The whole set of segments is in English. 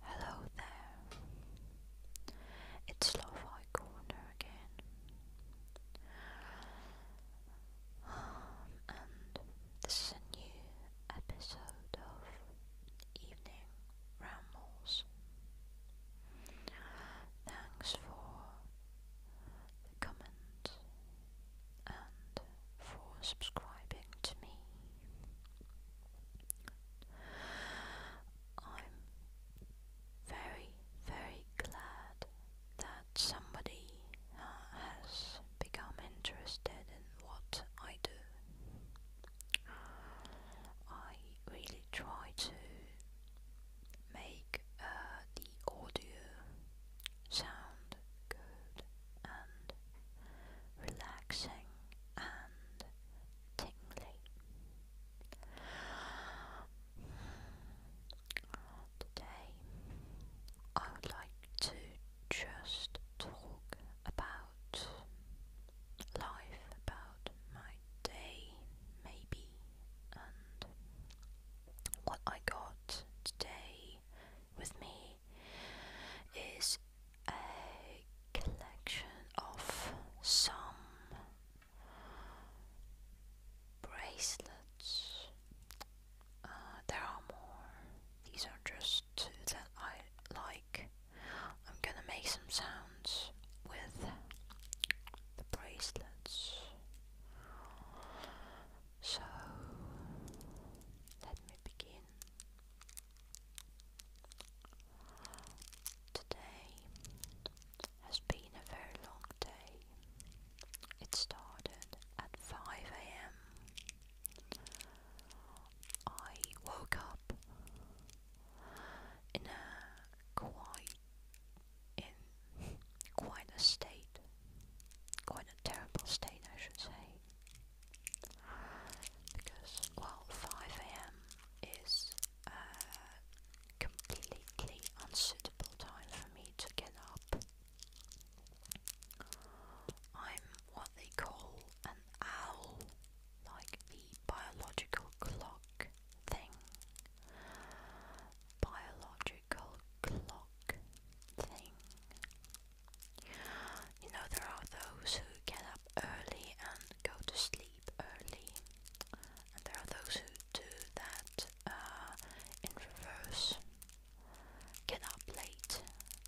Hello there. It's Lo-Fi Corner again. Um, and this is a new episode of Evening Rambles. Thanks for the comments and for subscribing to me. I'm very, very glad that somebody has become interested in what I do. I really try to make uh, the audio sound good and relaxing and tingly. Today, I would like to just talk about life, about my day, maybe, and what I got today with me is a collection of some bracelets. Uh, there are more. These are just two that I like. I'm gonna make some sounds with the bracelets. So let me begin. Today has been a very long day. It started at 5 am. I woke up in a quite in quite a state, quite a terrible state I should say because well, 5 a.m. is uh, completely unsuitable time for me to get up. I'm what they call an owl, like the biological clock thing. Biological clock thing. You know, there are those who get up early and go to sleep early, and there are those who do that uh, in reverse get up late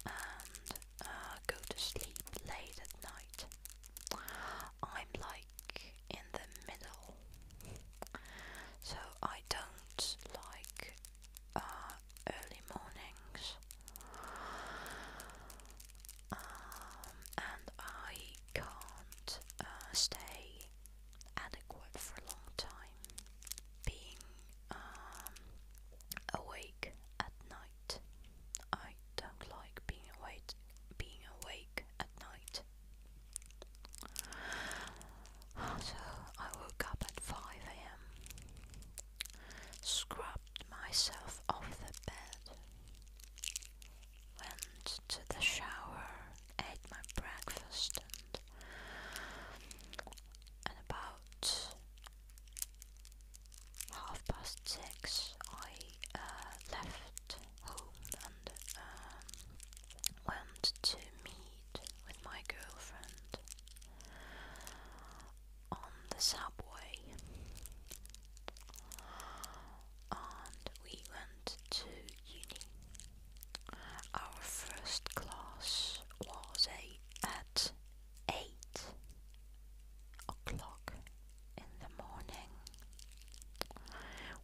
and uh, go to sleep late at night. I'm like in the middle, so I don't like uh, early mornings, um, and I can't uh, stay adequate for a long time. Being um, awake at night, I don't like being awake. Being awake at night. So I woke up at 5 a.m scrubbed myself off the bed, went to the shower, ate my breakfast, and, about half past six I uh, left home and um, went to meet with my girlfriend on the subway and we went to uni. Our first class was at 8 o'clock in the morning,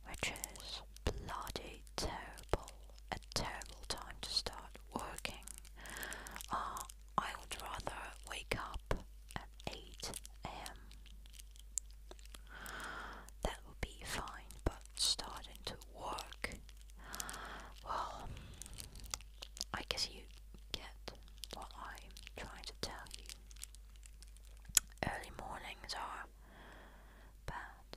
which is bloody terrible, a terrible time to start working. Uh, I would rather wake up at 8 am. That would be fine, but starting to work, well, I guess you get what I'm trying to tell you. Early mornings are bad.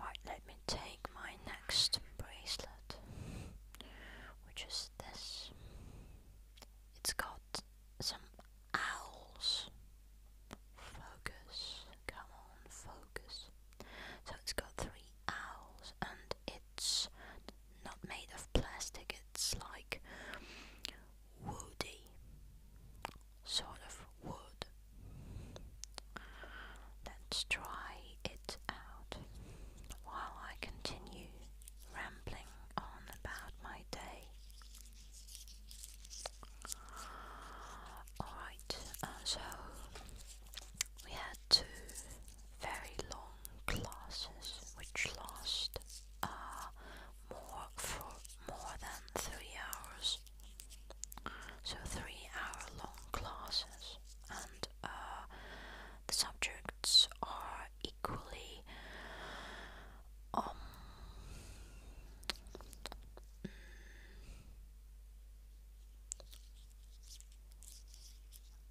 Right, let me take my next bracelet, which is this. It's got some owls. Focus, come on, focus. So it's got three owls, and it's not made of plastic, it's like woody sort of wood. Let's try it out while I continue rambling on about my day. Alright, uh, so we had two very long classes which last uh, more for more than three hours, so three-hour-long classes, and uh, the subjects are equally um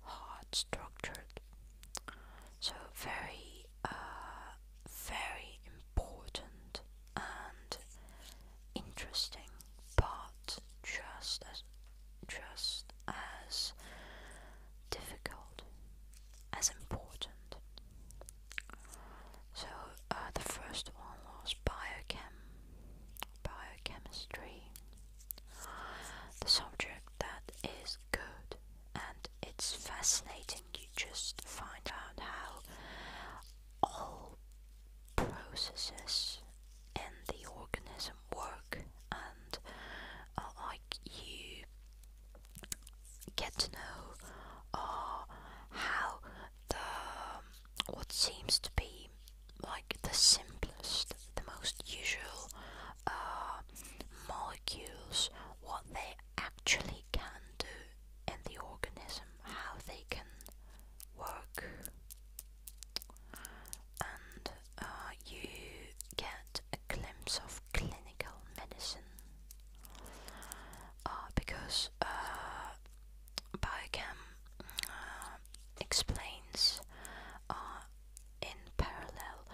hard structured. So very, uh, very important and interesting, but just as just as difficult as important. So uh, the first one was biochem, biochemistry, the subject that is good and it's fascinating you just find out how all processes in the organism work and like you get to know how the um, what seems to be like the simplest the most usual uh, molecules what they actually can do in the organism, how they can work, and uh, you get a glimpse of clinical medicine uh, because uh, biochem uh, explains in parallel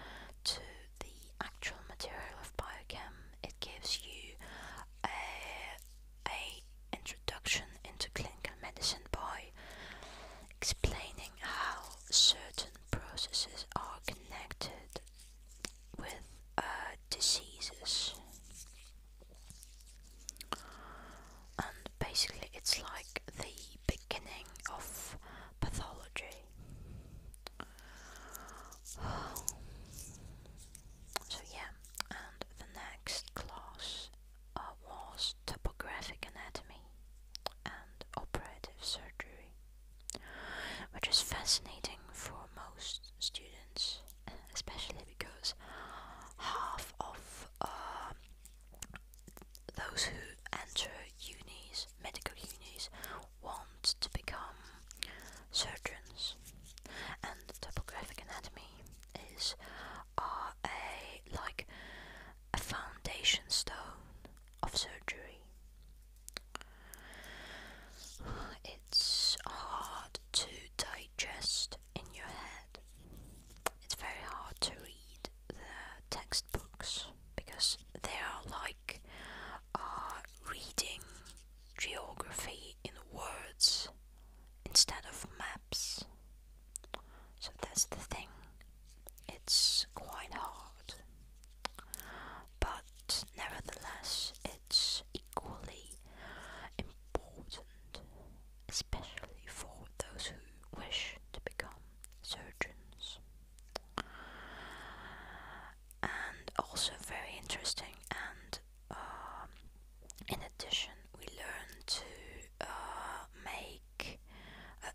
to the actual material of biochem, it gives you a, a introduction into clinical medicine by explaining how certain processes are connected with uh, diseases. And basically, it's like the beginning of pathology. So yeah, and the next class uh, was topographic anatomy and operative surgery, which is fascinating for most students, especially because half of um, those who enter unis, medical unis, want to become surgeons, and topographic anatomy is a like a foundation stone of surgery. It's hard to digest in your head. It's very hard to read the textbooks because they are like uh, reading geography in words instead of maps. So that's the thing. It's quite hard. But nevertheless, it's equally important, especially for those who wish to become surgeons and also very interesting. And um, in addition, we learn to uh, make uh,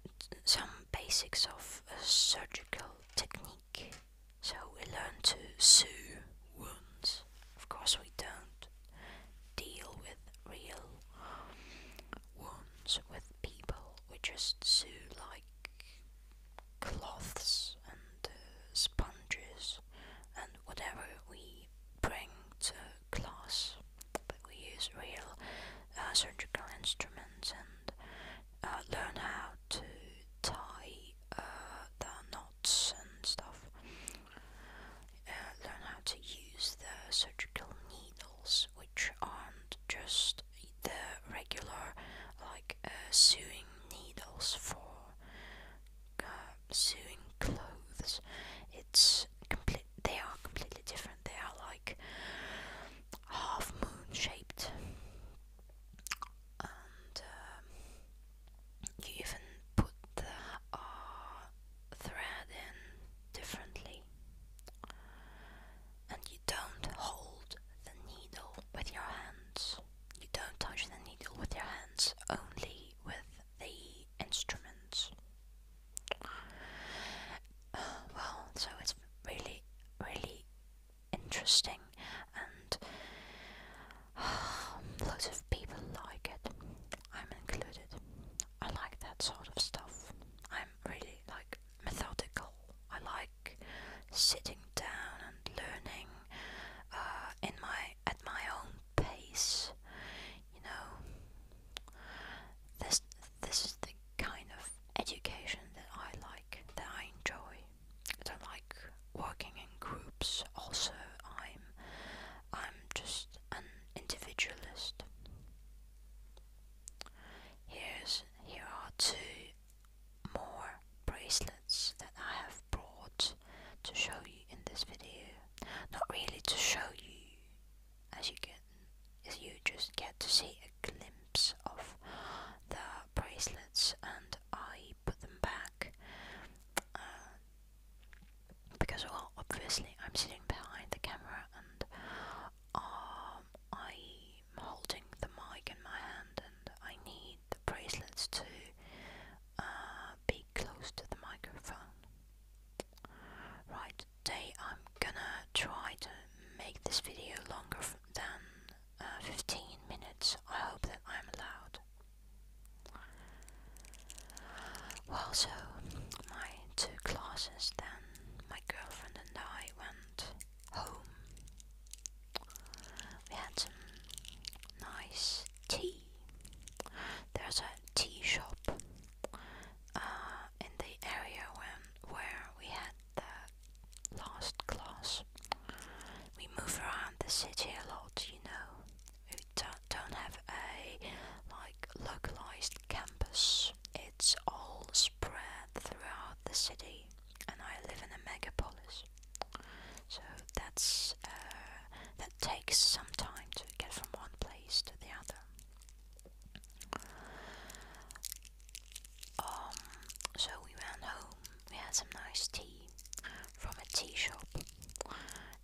some basics of uh, surgical technique. So we learn to sew wounds. Of course, we don't deal with real wounds with people. We just sew like cloths and uh, sponges and whatever we bring to class. But we use real uh, surgical instruments and uh, learn how to tie uh, the knots and stuff. Uh, learn how to use the surgical needles, which aren't just the regular like uh, sewing needles for uh, sewing clothes. It's complete. They are completely different. They are like half moon shaped, and um, you even put the thread in differently and you don't hold the needle with your hands. You don't touch the needle with your hands, only with the instruments. well, so it's really, really interesting, and lots of people like it. I'm included. I like that sort of stuff. I'm really like methodical. I like sitting down and learning uh, in my at my own pace. You know, this this is the kind of education that I like, that I enjoy. I don't like working in groups. Also, I'm I'm just an individualist. Here's here are two more bracelets that I have brought to show you in this video. Not really to show you, as you get, as you just get to see a glimpse of the bracelets, and I put them back uh, because, well, obviously I'm sitting behind the camera and um, I'm holding the mic in my hand, and I need the bracelets to uh, be close to the microphone. Right, today I'm gonna try to make this video longer than uh, 15 minutes. I hope that I'm allowed. Well, so my two classes then, my girlfriend and I went home. We had some nice tea. There's a tea shop uh, in the area when, where we had the last class. We move around the city a lot, you know. We don't, don't have a like localized campus. It's all spread throughout the city and I live in a megapolis. So that's uh, that takes some time to get from one place to the other. Um, so we went home. We had some nice tea from a tea shop.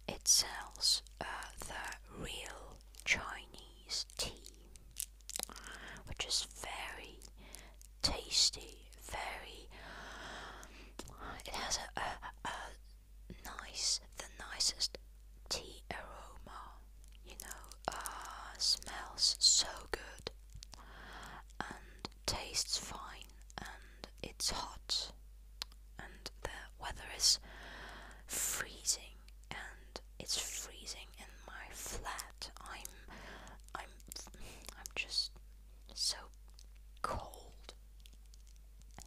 It sells uh, the real Chinese tea which is very tasty, very. It has a, nice, the nicest tea aroma. You know, uh, smells so good and tastes fine, and it's hot, and the weather is freezing and it's freezing in my flat. I'm, I'm, I'm just so cold.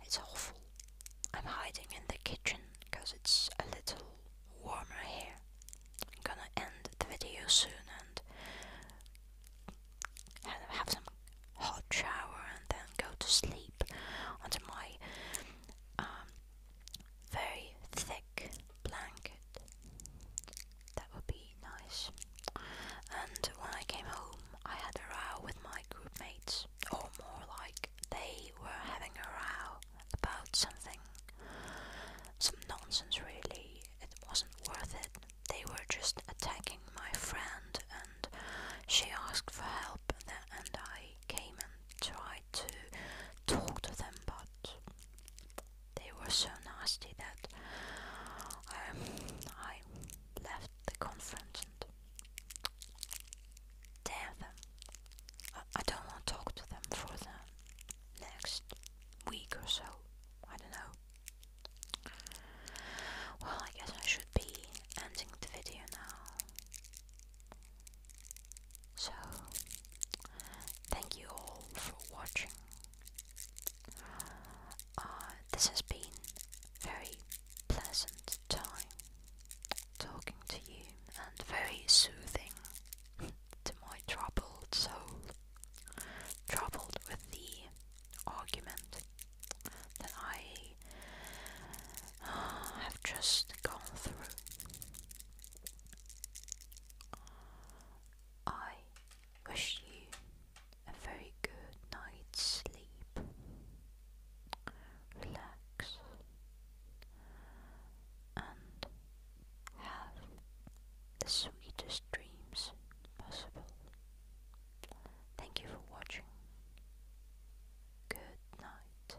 It's awful. I'm hiding in the kitchen because it's a little warmer here. I'm gonna end the video soon and have some hot shower and then go to sleep until my um, very thick blanket. That would be nice. And when I came home, I had a row with my group mates, or more like they were having a row about something. Some nonsense, really. It wasn't worth it. They were just attacking my friend, and she asked for help, and I came and tried to talk to them, but they were so nasty that um, I left the conference and them. I don't want to talk to them for the next week or so. I don't know. Well, I guess I should be ending the video now. So, thank you all for watching. Uh, this has been very pleasant time talking to you and very soothing to my troubled soul, troubled with the argument that I uh, have just gone through. I wish you a very good night's sleep. Relax and have the sweetest dreams possible. Thank you for watching. Good night.